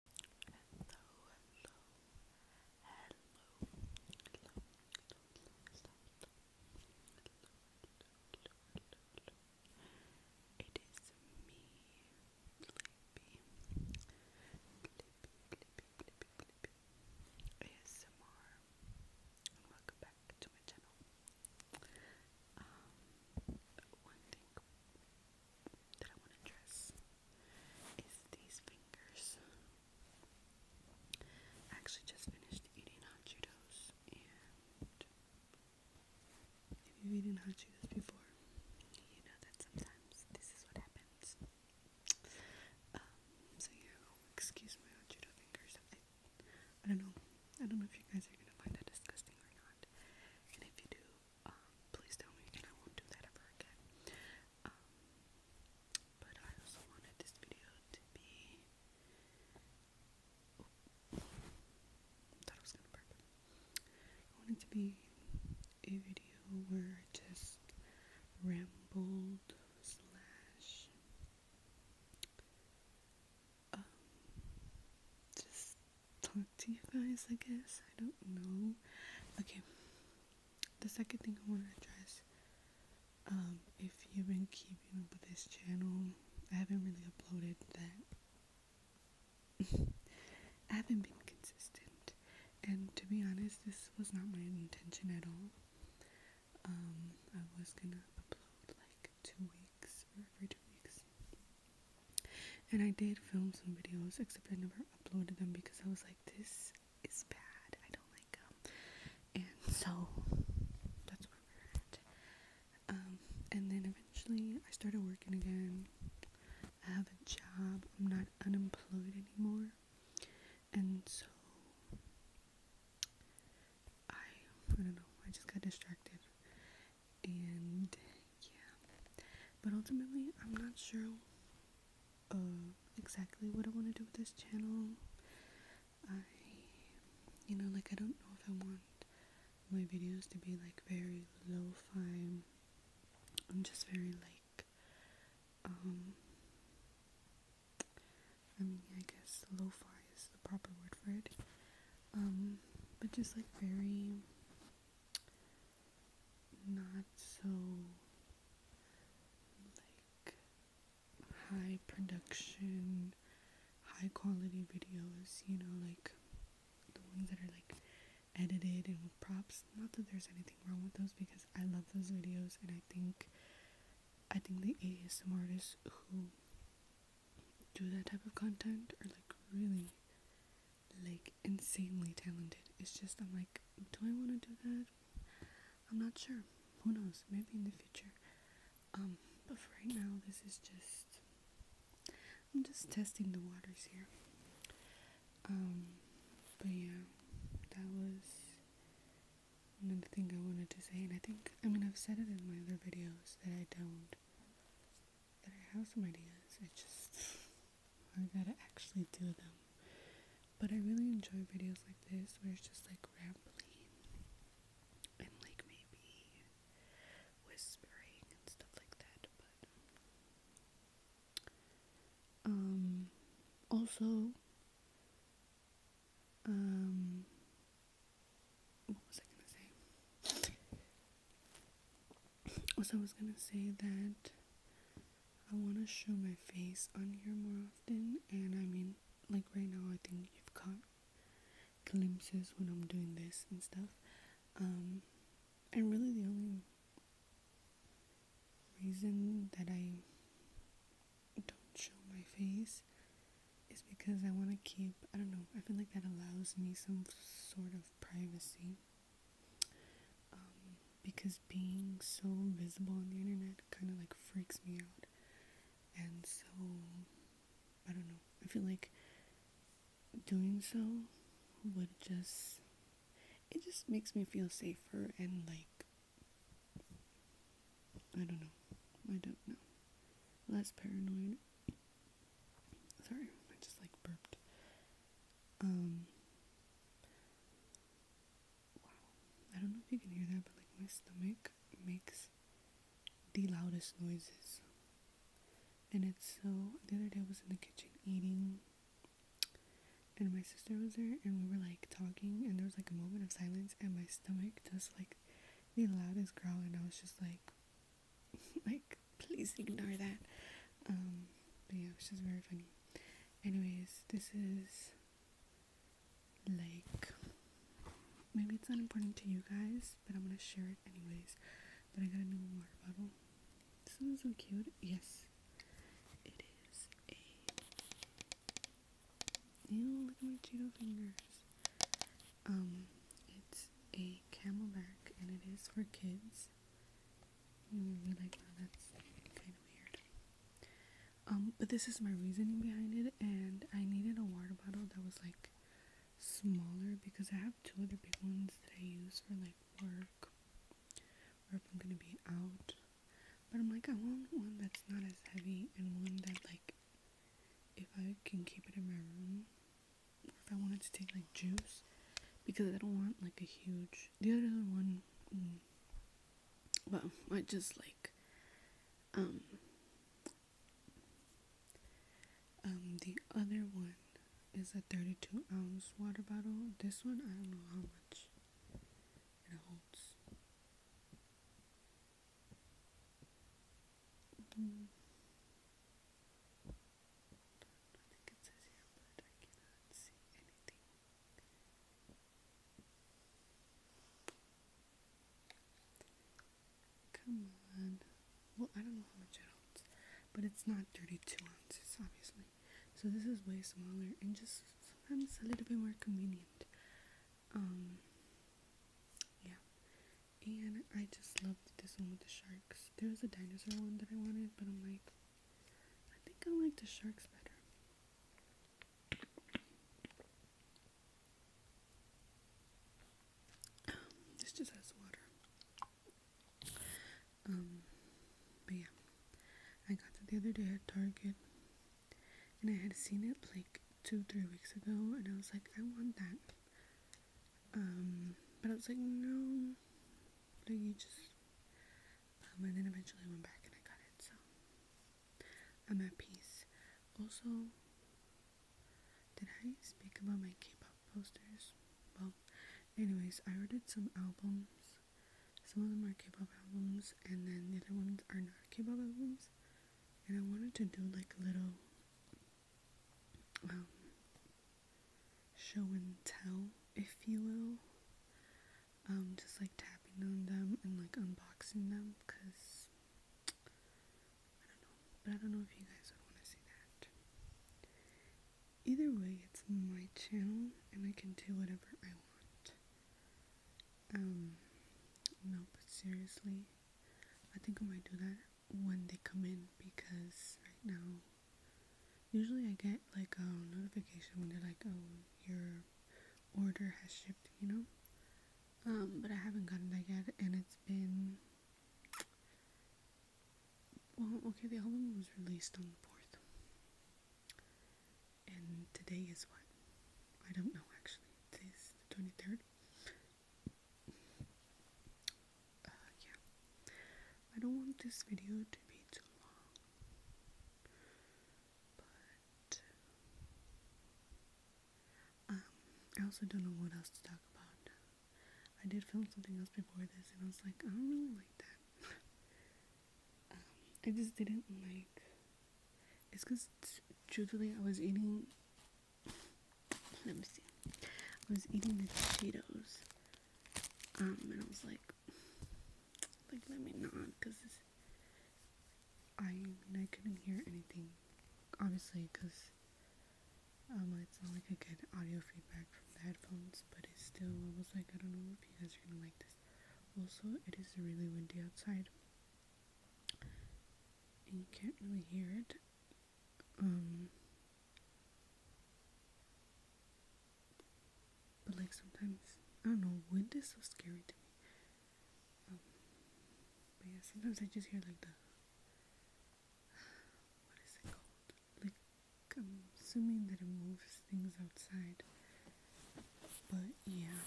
Hello, hello, hello, hello, hello, hello, hello, hello, hello, It is me, Clippy, Clippy, Clippy, Clippy, Clippy, ASMR, and welcome back to my channel. Um, one thing that I want to address is these fingers. actually just finished eating hot Cheetos, and if you've eaten hot Cheetos before, you know that sometimes this is what happens. Um, so yeah, oh, excuse my hot Cheeto fingers. I, I don't know. I don't know if you guys are gonna find that disgusting or not. And if you do, um, please tell me, and I won't do that ever again. Um, but I also wanted this video to be. Oh, was gonna burp. wanted to be a video where I just rambled slash. Um, just talk to you guys, I guess. I don't know. Okay. The second thing I want to address, um, if you've been keeping up with this channel, I haven't really uploaded that. I haven't been consistent. And to be honest, this was not my intention at all. Um, I was gonna upload like two weeks or every two weeks. And I did film some videos, except I never uploaded them because I was like, this is bad. I don't like them. And so that's where we're at. Um, and then eventually I started working again. I have a job. I'm not unemployed anymore. And so I, I don't know. I just got distracted. And yeah. But ultimately, I'm not sure uh, exactly what I want to do with this channel. I, you know, like I don't know if I want my videos to be like very lo-fi am just very like, um, I mean, I guess lo-fi is the proper word for it. Um, but just like very not so like high production, high quality videos, you know, like the ones that are like edited and props. Not that there's anything wrong with those because I love those videos and I think I think the ASM artists who do that type of content are like really like insanely talented. It's just I'm like, do I want to do that? I'm not sure. Who knows? Maybe in the future. Um, but for right now, this is just I'm just testing the waters here. Um, but yeah, that was another thing I wanted to say, and I think I mean I've said it in my other videos that I don't that I have some ideas. I just I gotta actually do them. But I really enjoy videos like this where it's just like rambling and like maybe whispering and stuff like that. But um, also, um, what was I gonna say? also oh, I was gonna say that I wanna show my face on here more often and I mean like right now I think you've caught glimpses when I'm doing this and stuff. Um, and really the only reason that I don't show my face is because I wanna keep I don't know, I feel like that allows me some sort of privacy um, because being so visible on the internet kind of like freaks me out. And so, I don't know. I feel like doing so would just, it just makes me feel safer and like, I don't know. I don't know. Less paranoid. Sorry, I just like burped. Um, wow, I don't know if you can hear that, but like my stomach makes the loudest noises. And it's so, the other day I was in the kitchen eating, and my sister was there, and we were like talking, and there was like a moment of silence, and my stomach just like the loudest growl, and I was just like, like, please ignore that. Um, but yeah, it's just very funny. Anyways, this is like maybe it's not important to you guys, but I'm gonna share it anyways. But I got a new water bottle. This one's so cute. Yes, it is a. Ew, look at my Cheeto fingers. Um, it's a camelback and it is for kids. Mm, um, but this is my reasoning behind it, and I needed a water bottle that was like smaller because I have two other big ones that I use for like work or if I'm gonna be out. But I'm like, I want one that's not as heavy and one that like if I can keep it in my room or if I wanted to take like juice because I don't want like a huge the other one mm. well I just like um, um, the other one is a 32 ounce water bottle this one I don't know how much it holds mm. Come on. Well, I don't know how much it holds, but it's not 32 ounces, obviously. So this is way smaller and just sometimes a little bit more convenient. Um, yeah. And I just loved this one with the sharks. There was a dinosaur one that I wanted, but I'm like, I think I like the sharks better. this just has water. Um, but yeah, I got it the other day at Target, and I had seen it like two, three weeks ago, and I was like, I want that. Um, but I was like, no, like you just um, and then eventually I went back and I got it, so I'm at peace. Also, did I speak about my K-pop posters? Well, anyways, I ordered some albums. Some of them are K-pop albums, and then the other ones are not K-pop albums. And I wanted to do like little um, show and tell, if you will. Um, just like tapping on them and like unboxing them because I don't know, but I don't know if you guys would want to see that. Either way, it's my channel and I can do whatever I want. Um, no, but seriously, I think I might do that when they come in because right now Usually I get like a notification when they're like, oh, your order has shipped, you know? Um, but I haven't gotten that yet and it's been well, okay, the album was released on the 4th. And today is what? I don't know actually. Today's the 23rd. Uh, yeah. I don't want this video to be too long, but um, I also don't know what else to talk about. I did film something else before this, and I was like, I don't really like that. Um, I just didn't like. It's because truthfully, I was eating. Let me see. I was eating the Cheetos. Um, and I was like, like, let me not, because I I couldn't hear anything, obviously, because um, it's not like I get audio feedback from the headphones, but it's still, I was like, I don't know if you guys are gonna like this. Also, it is really windy outside, and you can't really hear it. Um, but like sometimes, I don't know, wind is so scary to me. Um, but yeah, sometimes I just hear like the what is it called? Like I'm assuming that it moves things outside. But yeah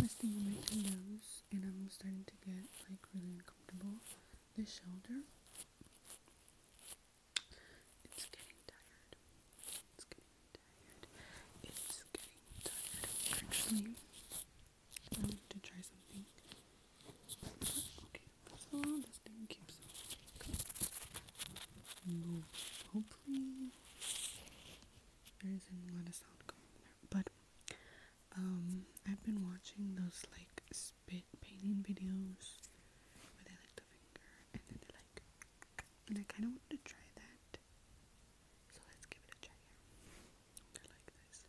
resting on my elbows, and I'm starting to get like really uncomfortable. This shoulder, it's getting tired. It's getting tired. It's getting tired. Actually, I want to try something. Okay, first of this thing keeps no, hopefully there isn't a lot of sound coming but um, I've been watching those like spit painting videos where they like the finger and they like, and I kind of wanted to try that. So let's give it a try like this.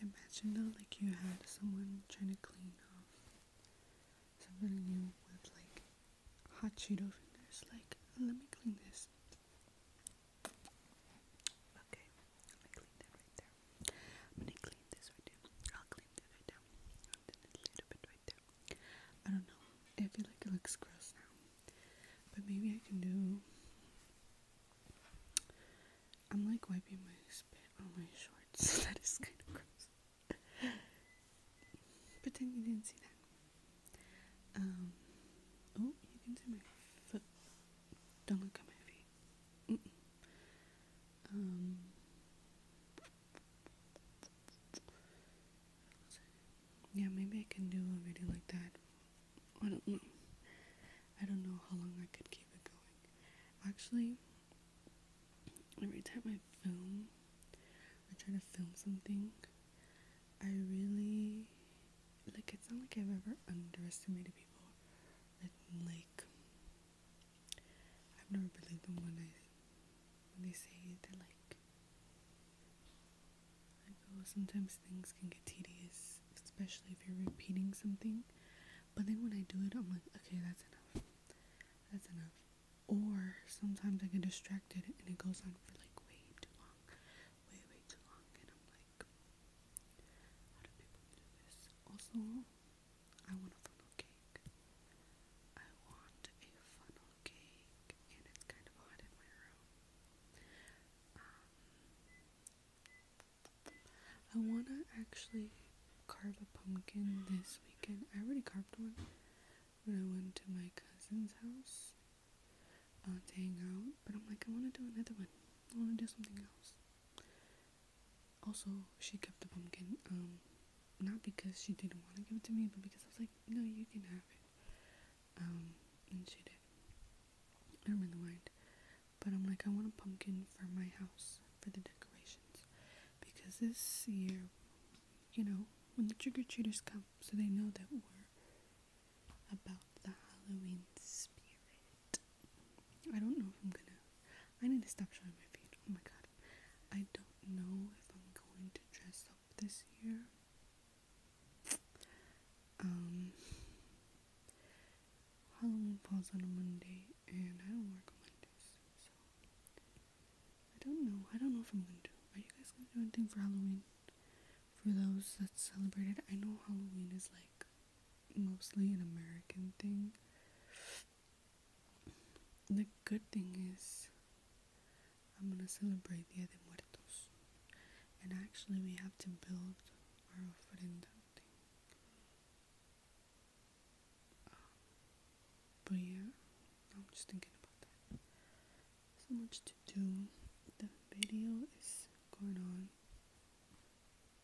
Imagine though, like you had someone trying to clean off something new with like hot Cheeto fingers. Like, let me clean this. Okay, I'm clean that right there. I'm clean this right there. I'll clean that right there. And then a little bit right there. I don't know. I feel like it looks gross now, but maybe I can do I'm like wiping my spit on my shorts. that is kind of gross. Pretend you didn't see that. Um, oh, you can see my foot. Don't look at my feet. Um, yeah, maybe I can do a video like that I don't know. I don't know how long I could keep it going. Actually, every time I film, I try to film something. I really like. It's not like I've ever underestimated people. Like, like I've never believed them when I when they say they're like. Oh, sometimes things can get tedious especially if you're repeating something. But then when I do it, I'm like, okay, that's enough. That's enough. Or sometimes I get distracted and it goes on for like way too long. Way, way too long. And I'm like, how do people do this? Also, I want a funnel cake. I want a funnel cake. And it's kind of hot in my room. Um, I wanna actually carve a pumpkin this weekend. I already carved one when I went to my cousin's house uh, to hang out, but I'm like, I wanna do another one. I wanna do something else. Also, she kept the pumpkin, um, not because she didn't want to give it to me, but because I was like, no, you can have it. Um, and she did. I don't really mind. But I'm like, I want a pumpkin for my house for the decorations. Because this year, you know, when the trick or treaters come, so they know that we're about the Halloween spirit. I don't know if I'm gonna. I need to stop showing my feet. Oh my god. I don't know if I'm going to dress up this year. Um, Halloween falls on a Monday, and I don't work on Mondays, so I don't know. I don't know if I'm gonna Are you guys gonna do anything for Halloween? For those that celebrate it, I know Halloween is like mostly an American thing. The good thing is, I'm gonna celebrate Dia de Muertos, and actually, we have to build our ofrenda but yeah, I'm just thinking about that. So much to do. The video is going on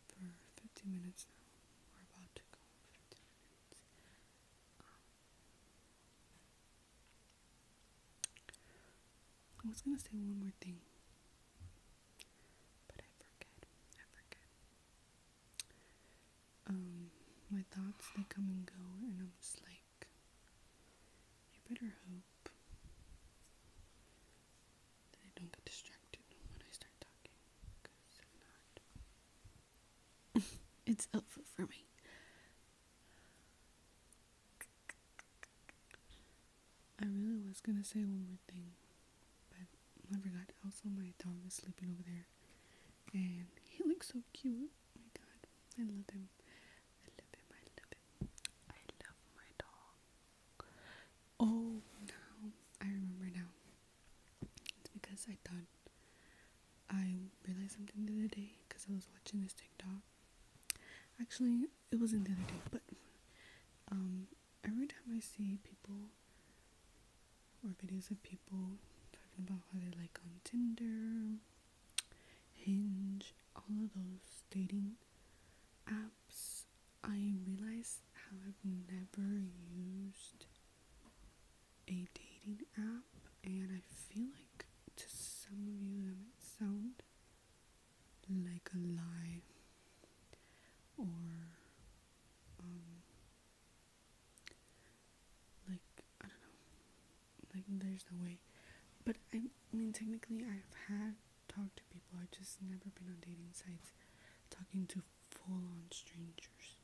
for 50 minutes now. We're about to go 50 minutes. Um, I was gonna say one more thing. But I forget. I forget. Um, my thoughts they come and go, and I'm like, I better hope that I don't get distracted when I start talking, because if not, it's helpful for me. I really was gonna say one more thing, but I forgot. Also, my dog is sleeping over there, and he looks so cute. Oh my God, I love him. I love him. I love him. I love my dog. Oh, now I remember now. It's because I thought I realized something the other day because I was watching this TikTok. Actually, it wasn't the other day, but um, every time I see people or videos of people talking about how they like on Tinder, Hinge, all of those dating apps, I realize how I've never used a dating app, and I feel like to some of you that might sound like a lie or um, like I don't know like there's no way but I mean technically I've had talked to people I've just never been on dating sites talking to full-on strangers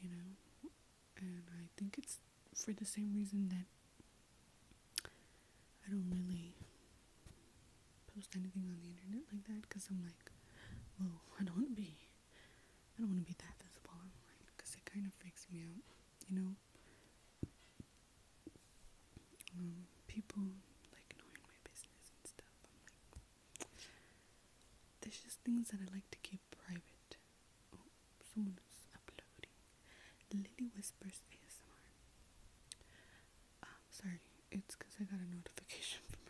you know and I think it's for the same reason that I don't really post anything on the internet like that because I'm like, well, I don't want to be, I don't want to be that visible online because it kind of freaks me out, you know. Um, people like knowing my business and stuff. I'm like, there's just things that I like to keep private. Oh, someone is uploading. Lily Whispers ASMR. Um, sorry, it's because I got a notification from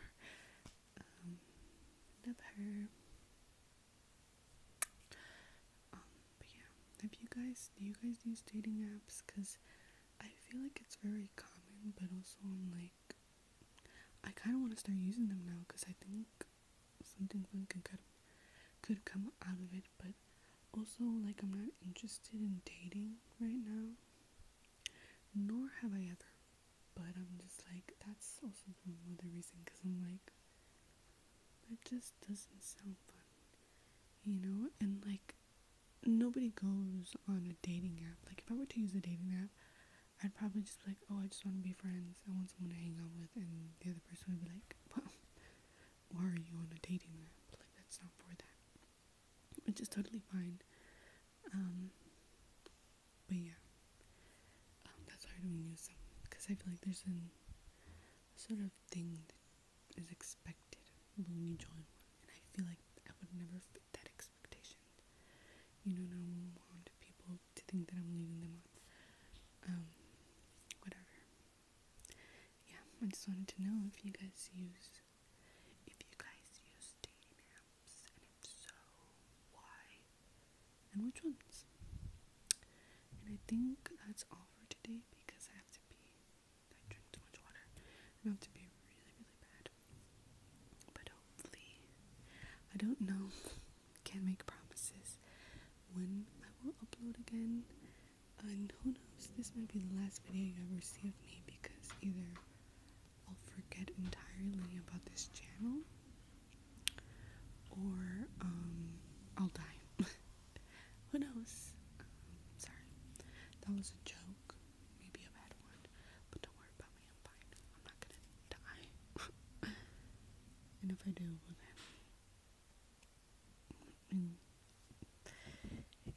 um, her. Um, but yeah, have you guys, do you guys use dating apps? Because I feel like it's very common, but also I'm like, I kind of want to start using them now because I think something fun could, could, could come out of it, but also, like, I'm not interested in dating right now, nor have I ever. But I'm just like, that's also another reason because I'm like, it just doesn't sound fun, you know? And like, nobody goes on a dating app. Like, if I were to use a dating app, I'd probably just be like, oh, I just want to be friends. I want someone to hang out with. And the other person would be like, well, why are you on a dating app? Like, that's not for that which is totally fine. Um, but yeah, um, that's hard when you use because I feel like there's a sort of thing that is expected when you join and I feel like I would never fit that expectation. You know, I want people to think that I'm leading them on. Um, whatever. Yeah, I just wanted to know if you guys use if you guys use dating apps, and so, why, and which ones. And I think that's all for today because I have to be, I drink too much water, I have to be really, really bad. But hopefully, I don't know, can't make promises when I will upload again. And who knows, this might be the last video you ever see of me because either I'll forget entirely about this channel or um, I'll die. who knows? Um, sorry, that was a joke. Maybe a bad one, but don't worry about me. I'm fine. I'm not gonna die. and if I do, well then.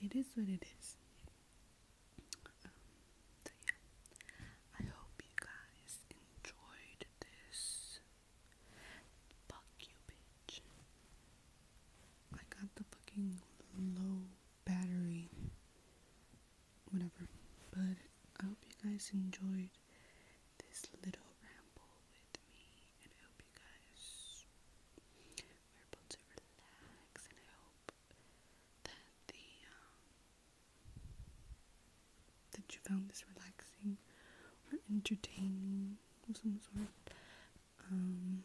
It is what it is. I hope you guys enjoyed this. Fuck you, bitch. I got the fucking low battery, whatever. But I hope you guys enjoyed this little ramble with me, and I hope you guys we're able to relax, and I hope that the um, that you found this relaxing or entertaining of some sort. Um,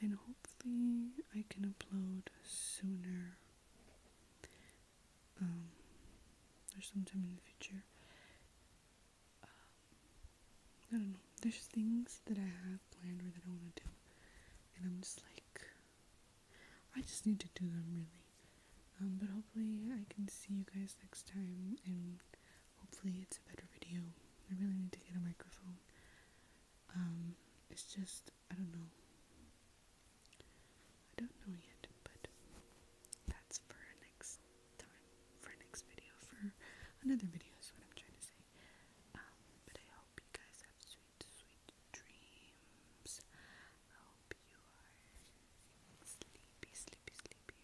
and hopefully, I can upload sooner um, or sometime in the future I don't know. There's things that I have planned or that I want to do, and I'm just like, I just need to do them really. Um, but hopefully, I can see you guys next time, and hopefully, it's a better video. I really need to get a microphone. Um, it's just, I don't know. I don't know yet, but that's for next time for next video for another video is what I'm trying to say. Um, but I hope you guys have sweet, sweet dreams. I hope you are sleepy, sleepy, sleepy.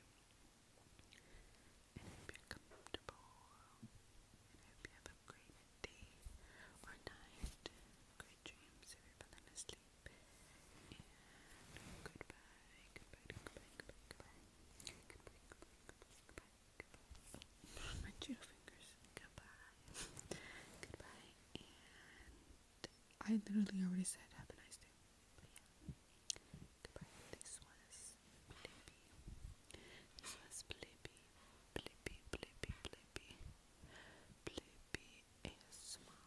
And comfortable. And I hope you have a great day or night. Great dreams if you're falling asleep. goodbye my two fingers. Goodbye. goodbye. And I literally already said have a nice day. But yeah. Goodbye. This was Blippi. This was Blippi. Blippi, Blippi, Blippi. Blippi ASMR.